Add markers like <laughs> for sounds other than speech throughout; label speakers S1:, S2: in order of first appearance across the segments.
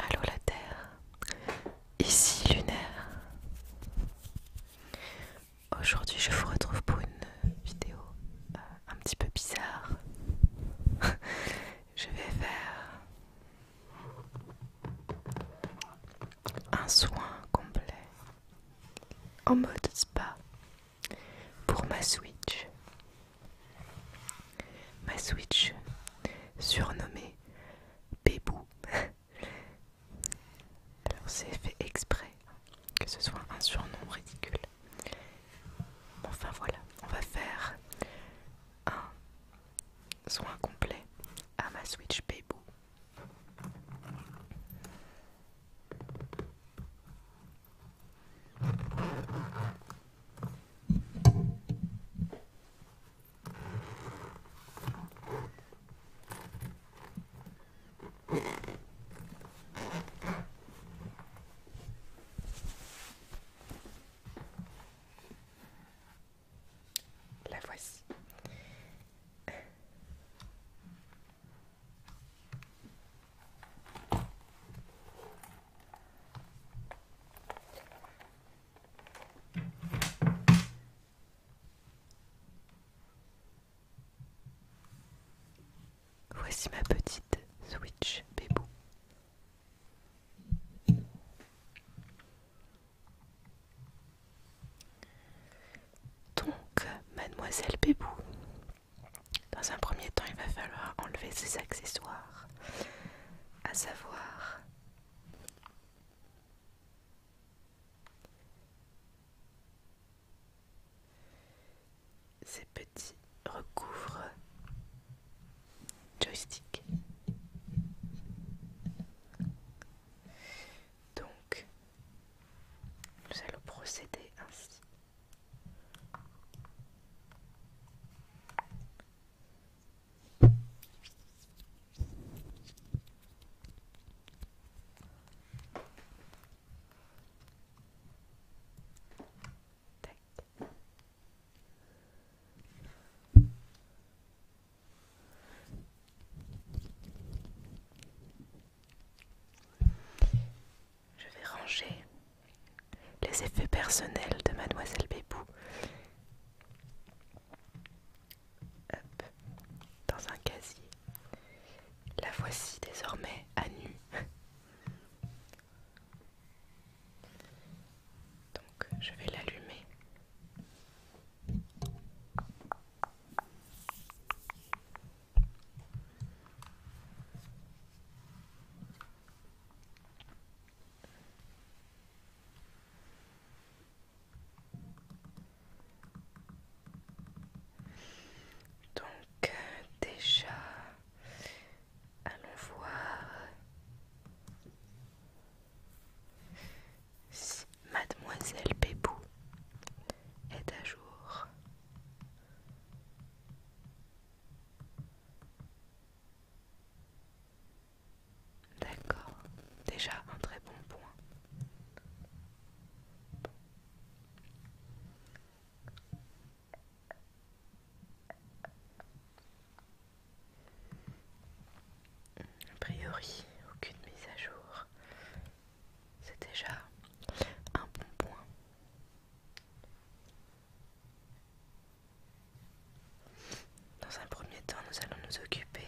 S1: Allô la Terre, ici Lunaire. Aujourd'hui je vous retrouve pour une vidéo euh, un petit peu bizarre. <laughs> je vais faire un soin complet en mode spa pour ma Switch. Ma Switch surnommée Bébou. Alors c'est fait exprès que ce soit un surnom ridicule. Enfin voilà, on va faire un soin complet à ma Switch Paybo. La voici. Voici ma petite Switch Bebou. Donc, mademoiselle Bébou, dans un premier temps, il va falloir enlever ses accessoires, à savoir ces petits recouvre joystick. Donc, nous allons procéder ainsi. Tac. Je vais ranger les effets personnels de mademoiselle Bébou dans un casier. La voici désormais à nu. Donc je vais l'allumer. Donc euh, déjà Allons voir si Mademoiselle Pépou est à jour. D'accord, déjà un très bon point. A priori, aucune mise à jour. C'est déjà un bon point. Dans un premier temps, nous allons nous occuper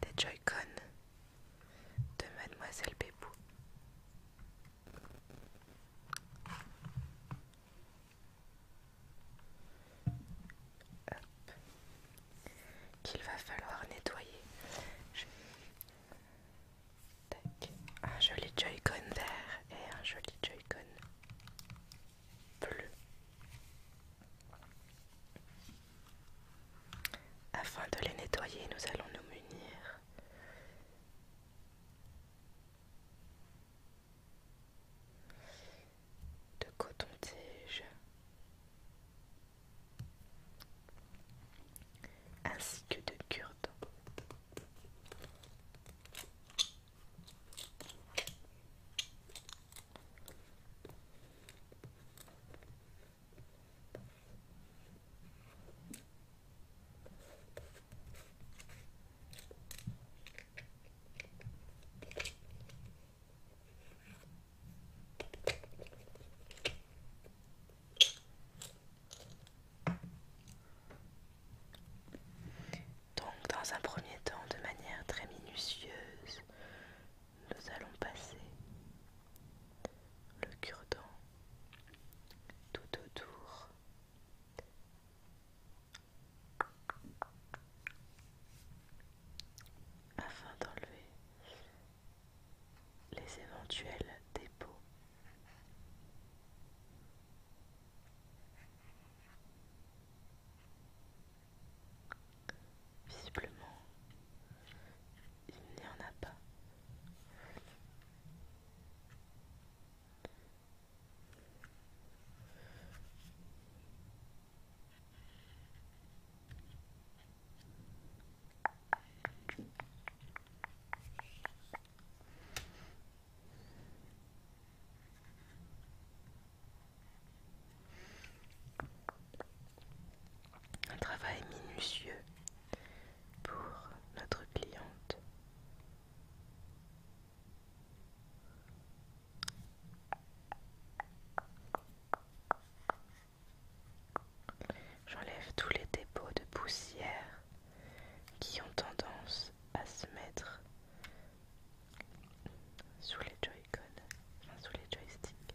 S1: des Joy-Con de Mademoiselle Bébou qu'il va falloir nettoyer. Un joli Joy-Con vert et un joli joy bleu. Afin de les nettoyer, nous allons nous munir de coton-tige ainsi que de cure donc dans un premier temps, de manière très minutieuse, nous allons passer le cure-dent tout autour afin d'enlever les éventuels dépôts. Visiblement, il n'y en a pas. Un travail minutieux pour notre cliente. J'enlève tous les dépôts de poussière qui ont tendance à se mettre sous les joy sous les joysticks.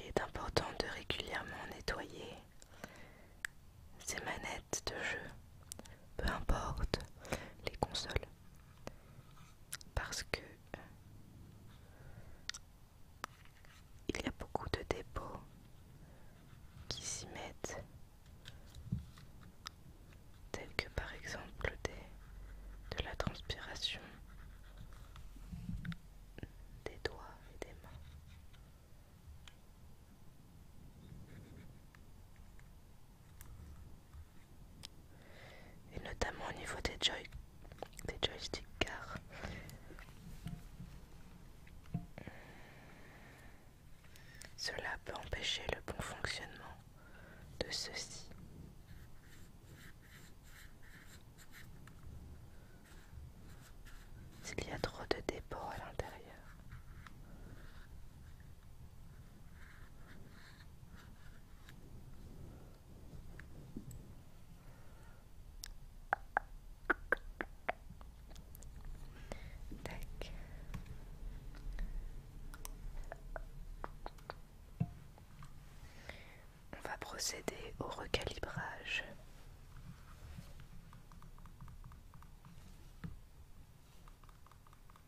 S1: Il est important de régulièrement nettoyer ces manettes de jeu, peu importe les consoles, parce que il y a beaucoup de dépôts qui s'y mettent, tels que par exemple de la transpiration des doigts et des mains et notamment au niveau des, joysticks car cela peut empêcher le bon fonctionnement de ceux-ci. S'il y a trop de dépôts à l'intérieur. On va procéder au recalibrage.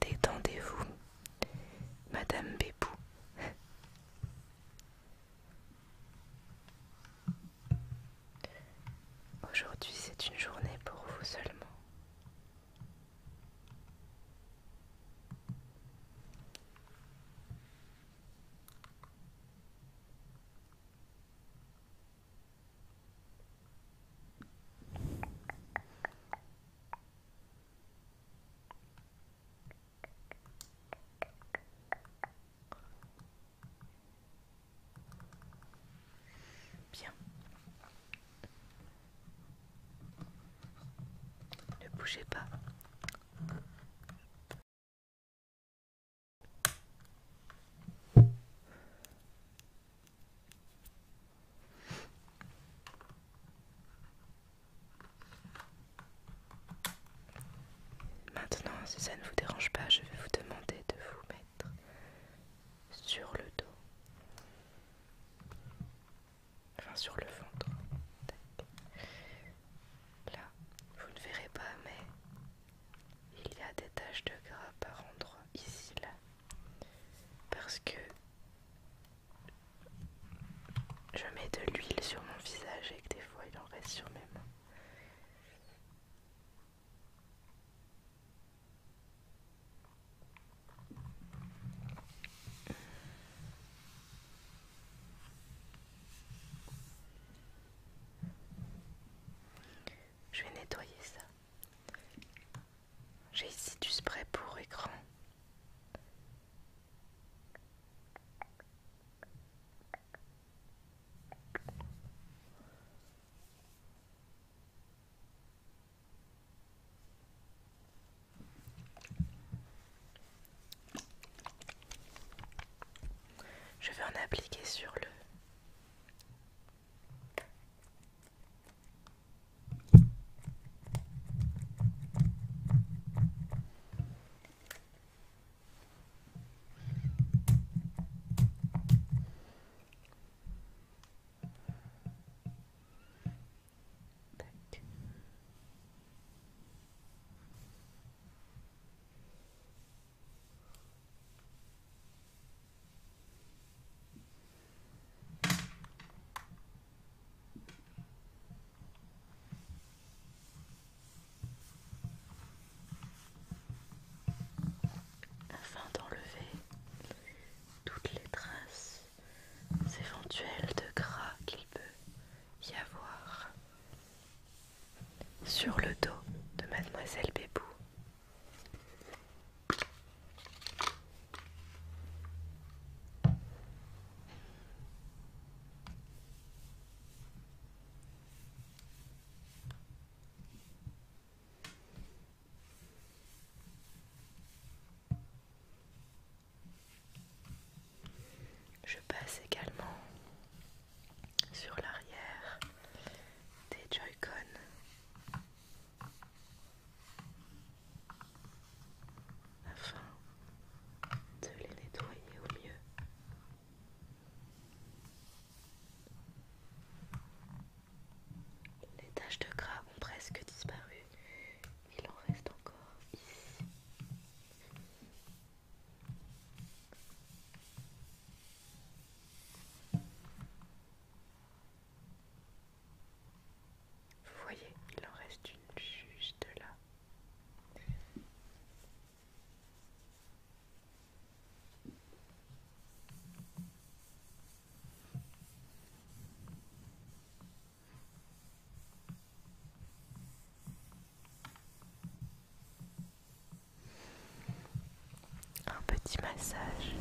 S1: Détendez-vous, Madame Bébou. Aujourd'hui, c'est une journée pour vous seulement. Bien. Ne bougez pas. Maintenant, si ça ne vous dérange pas, je vais vous demander de vous mettre sur le dos. Enfin, sur le ventre. Là, vous ne verrez pas, mais il y a des taches de gras par endroits ici, là. Parce que je mets de l'huile sur mon visage et que des fois il en reste sur mes mains. Je vais nettoyer ça. J'ai ici du spray pour écran. Je vais en appliquer sur le afin d'enlever toutes les traces éventuels de gras qu'il peut y avoir sur le dos de mademoiselle Bébou. Je passe également sur l'arrière des Joy-Con. Afin de les nettoyer au mieux. Les taches de gras ont presque disparu il en reste encore ici. Vous voyez, il en reste une juste là. Un petit massage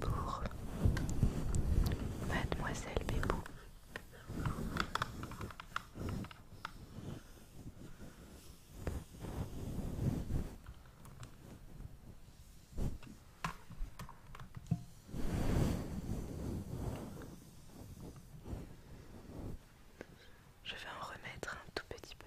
S1: pour mademoiselle Bébou. Je vais en remettre un tout petit peu.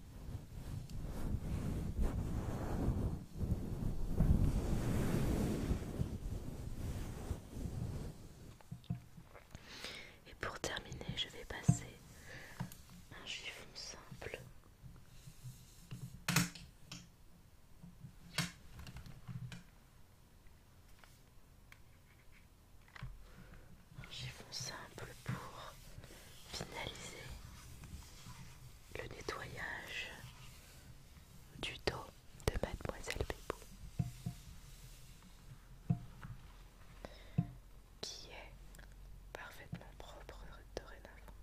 S1: Et pour terminer, je vais passer un chiffon simple. Un chiffon simple pour finaliser le nettoyage du dos de mademoiselle Bébou qui est parfaitement propre dorénavant.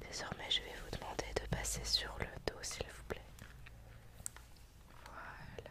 S1: Désormais je vais vous demander de passer sur le dos s'il vous plaît. Voilà.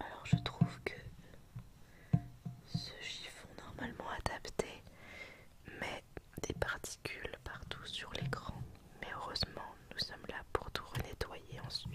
S1: Alors je trouve que ce chiffon normalement adapté met des particules partout sur l'écran. Mais heureusement, nous sommes là pour tout renettoyer ensuite.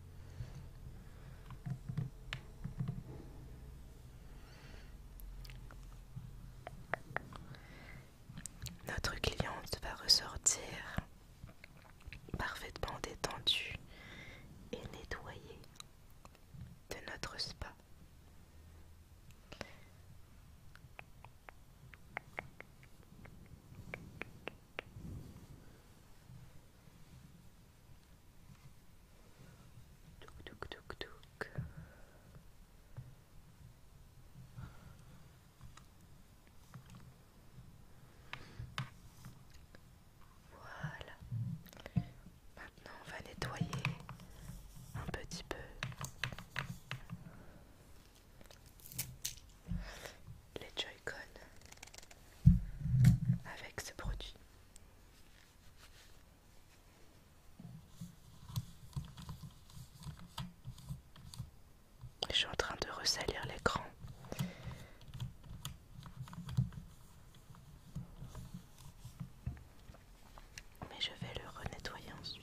S1: Notre cliente va ressortir parfaitement détendue et nettoyée de notre spa. Voilà. Maintenant, on va nettoyer un petit peu les joy avec ce produit. Je suis en train de ressalir l'écran. Mais je vais le renettoyer ensuite.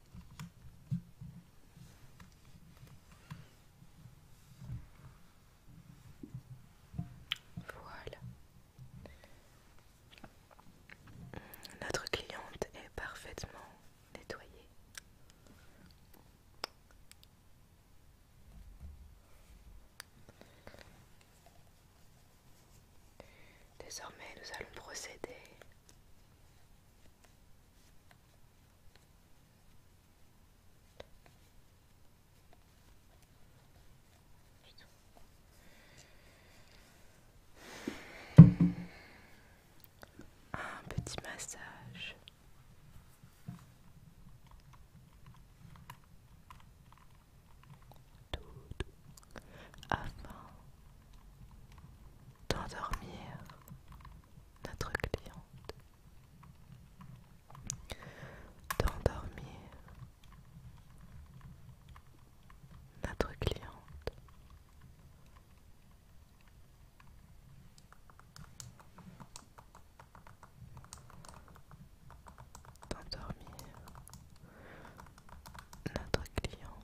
S1: Voilà. Notre cliente est parfaitement nettoyée. Désormais, nous allons procéder à un petit massage afin d'endormir notre cliente, d'endormir notre cliente. D'endormir notre cliente.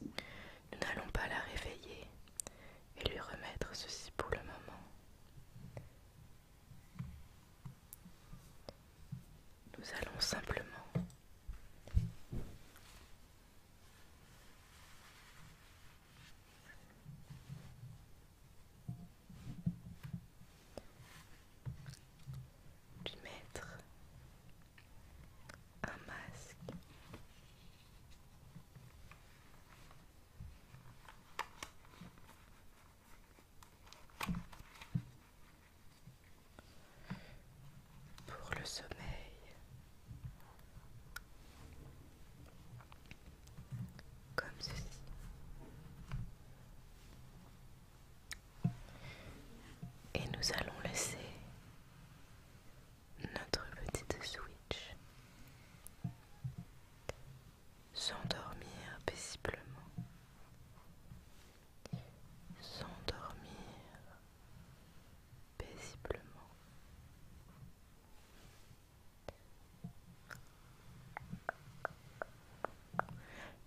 S1: Nous n'allons pas la réveiller et lui remettre ceci pour le moment. Nous allons simplement de mettre un masque. Pour le sommeil, comme ceci. Et nous allons laisser notre petite switch s'endormir paisiblement. S'endormir paisiblement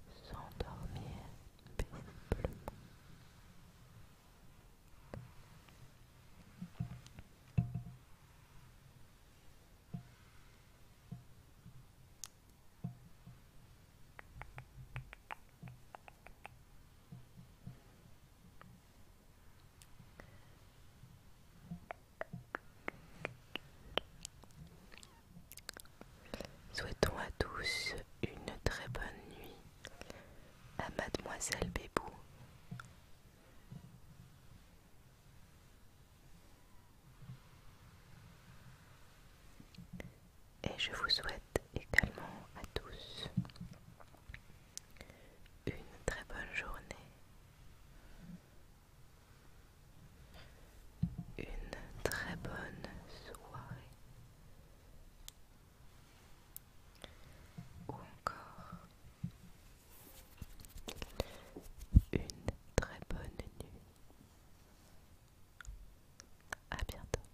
S1: s'endormir paisiblement. Souhaitons à tous une très bonne nuit à mademoiselle Bébou. Et je vous souhaite également à tous une très bonne journée, une très bonne soirée ou encore une très bonne nuit. À bientôt.